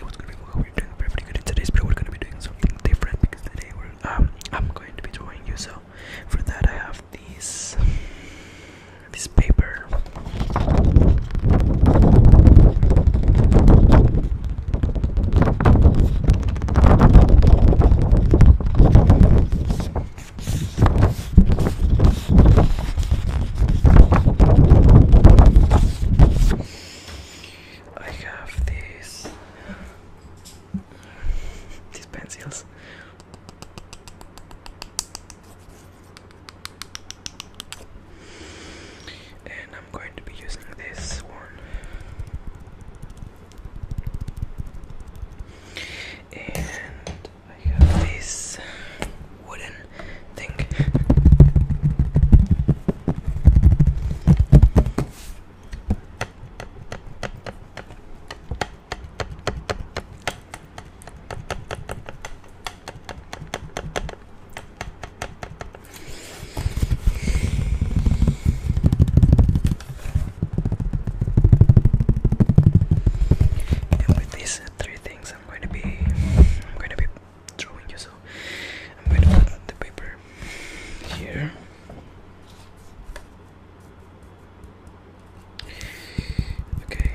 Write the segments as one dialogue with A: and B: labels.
A: what's going on? Hope you're doing pretty good. In today's video, we're going to be doing something different because today um, I'm going to be drawing you. So for that, I have these this paper. I have these these pencils. And I'm going to be using this one. And I have this wooden thing. And with these three things, I'm going to be, I'm going to be drawing you, so I'm going to put the paper here. Okay.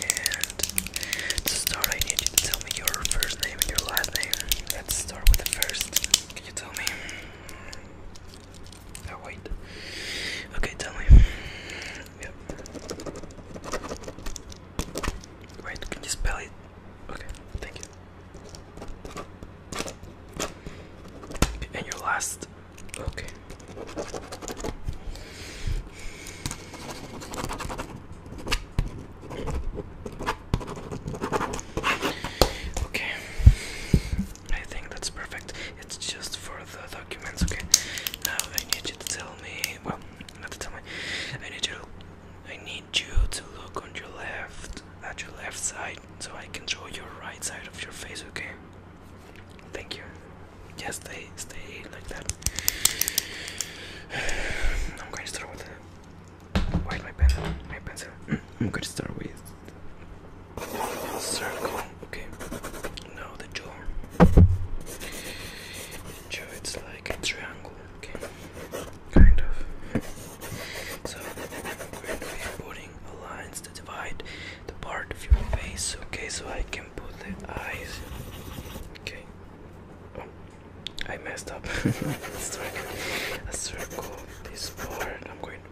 A: And to start, I need you to tell me your first name and your last name. Let's start with the first. Can you tell me? Oh wait. Okay, tell me. Yep. Wait, can you spell it? Okay, thank you. And your last. Okay. Okay. I think that's perfect. It's just for the documents, okay? Now I need you to tell me. Well, not to tell me. I need you. I need you to look on your left, at your left side, so I can draw your right side of your face, okay? Thank you. Just stay, stay like that. I'm going to start with. Wait, my pen, my pencil. I'm going to start with circle. Okay, now the jaw. it's like a triangle. Okay, kind of. So I'm going to be putting lines to divide the part of your face. Okay, so I can put the eyes. Okay. Oh, I messed up. a circle. This part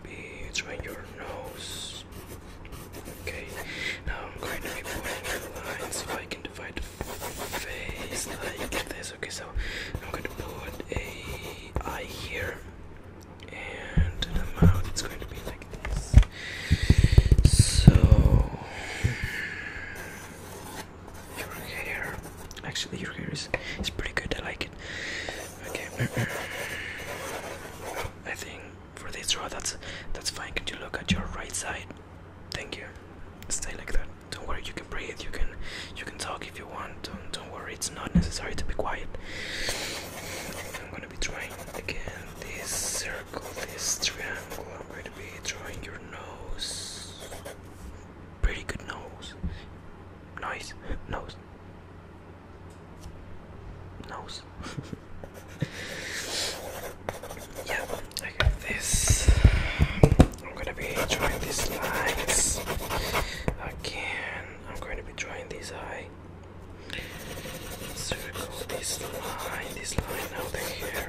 A: be trying your nose. Okay, now I'm going to be putting the line so I can divide the face like this. Okay, so I'm going to put a eye here, and the mouth is going to be like this. So your hair, actually, your hair is is pretty good. I like it. Okay. I think for this draw, that's that's fine. Can you look at your right side? Thank you. Stay like that. Don't worry, you can breathe, you can you can talk if you want. Don't don't worry, it's not necessary to be quiet. I'm gonna be drawing again this circle, this triangle. I'm going to be drawing your nose. Pretty good nose. Nice nose nose. yeah, I got this. I'm gonna be drawing these lines again. I'm going to be drawing this eye. Circle this line, this line out here.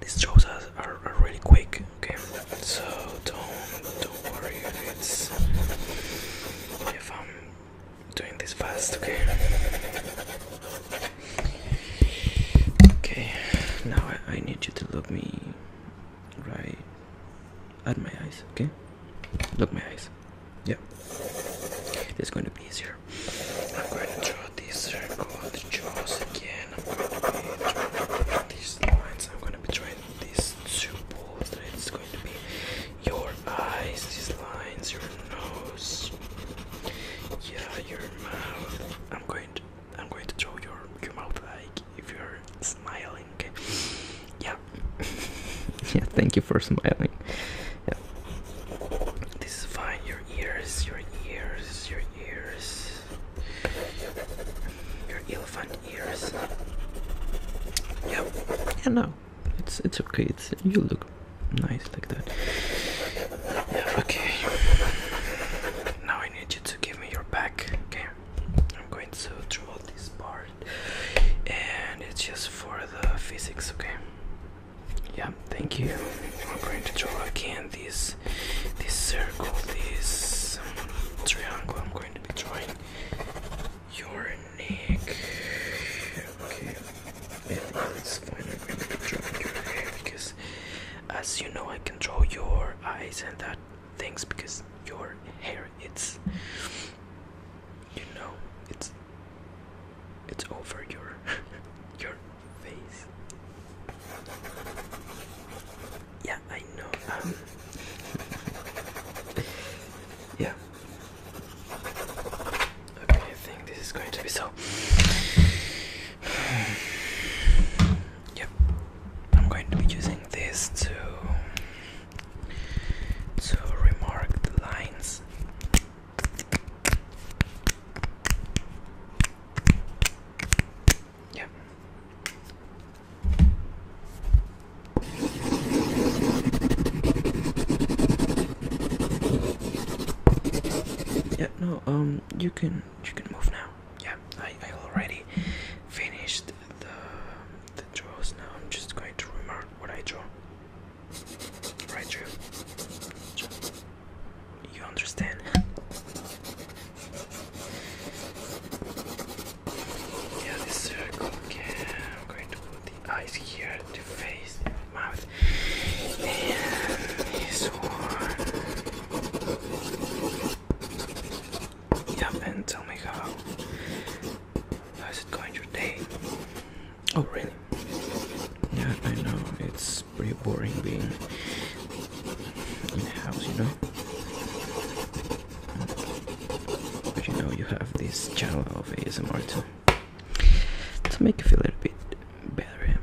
A: These draws are, really quick, okay? So don't don't worry if I'm doing this fast, okay? Okay, now I, need you to look me right at my eyes, okay? Look my eyes. Yeah. It's going to be easier. I'm going to draw this circle, again. I'm going to be these lines. I'm going to be drawing these two balls that it's going to be your eyes, these lines, your nose, yeah, your mouth. I'm going to I'm going to draw your your mouth like if you're smiling. Yeah. yeah, thank you for smiling. Yeah. This is fine, your ears, your ears, your ears. Your elephant ears. Yep. Yeah, no, it's it's okay. you look nice like that. Yeah, okay. Now I need you to give me your back. Okay. I'm going to draw this part, and it's just for the physics. Okay. Yeah. Thank you. I'm going to draw again this this circle, this triangle going to be your neck. Okay, it's fine. I'm going to be your hair because, as you know, I control your eyes and that things because your hair, it's, you know, it's, it's over your, your face. Yeah, I know. Um, yeah. Okay, I think this is going to be so. Yep. I'm going to be using this to to remark the lines. Yeah. Yeah, no, um you can you can move now. Yeah, I, I already finished the the draws now. I'm just going to remark what I draw. Right drew. You understand? yeah, this circle. Okay, I'm going to put the eyes here, the face, mouth, and his horn. Yeah, and tell me how. How's it going your day? Oh, really? Yeah, I know. It's pretty boring being in the house, you know. But you know, you have this channel of ASMR too to make you feel a little bit better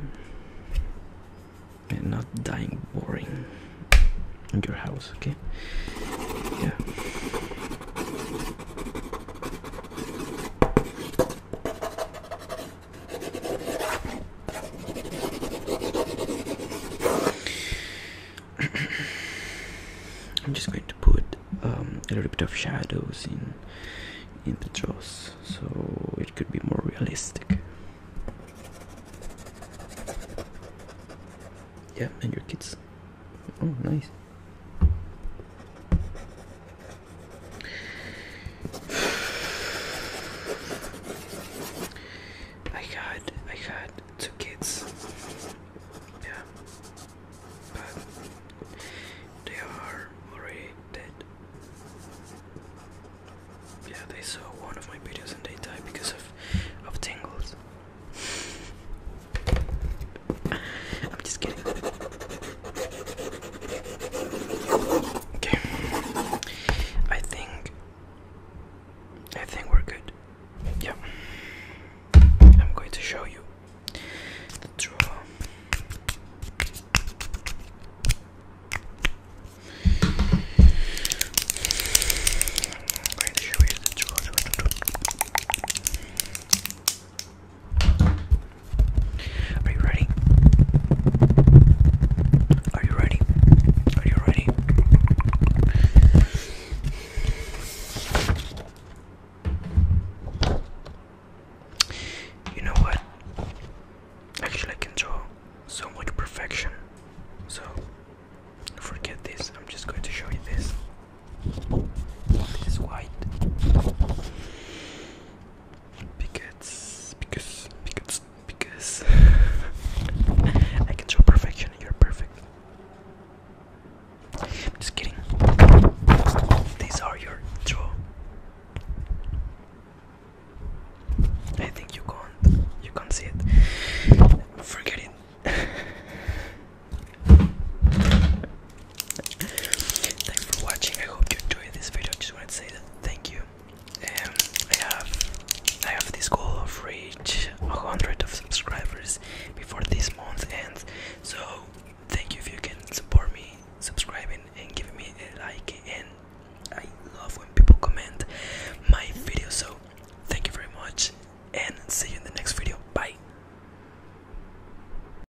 A: and not dying boring in your house, okay? Yeah. I'm just going to put um, a little bit of shadows in in the jaws so it could be more realistic. Yeah, and your kids. Oh, nice. I had I had two kids. Yeah. But they are already dead. Yeah, they saw one of my videos and they died because of of tingles. I'm just kidding. Okay. I think I think we're good. Yeah. I'm going to show you the draw. Are you ready? Are you ready? Are you ready? You know what? Actually, I can draw so much perfection. So, forget this. I'm just going to show you this. This white because because because because I can show perfection and you're perfect. Just kidding. These are your true. I think you can't you can't see it. Forget it. Thanks for watching. I hope you enjoyed this video. I just want to say that thank you. Um, I have I have this goal of reach 100 of subscribers before this month ends. So thank you if you can support me subscribing and giving me a like. And I love when people comment my videos. So thank you very much, and see you in the next video. Bye.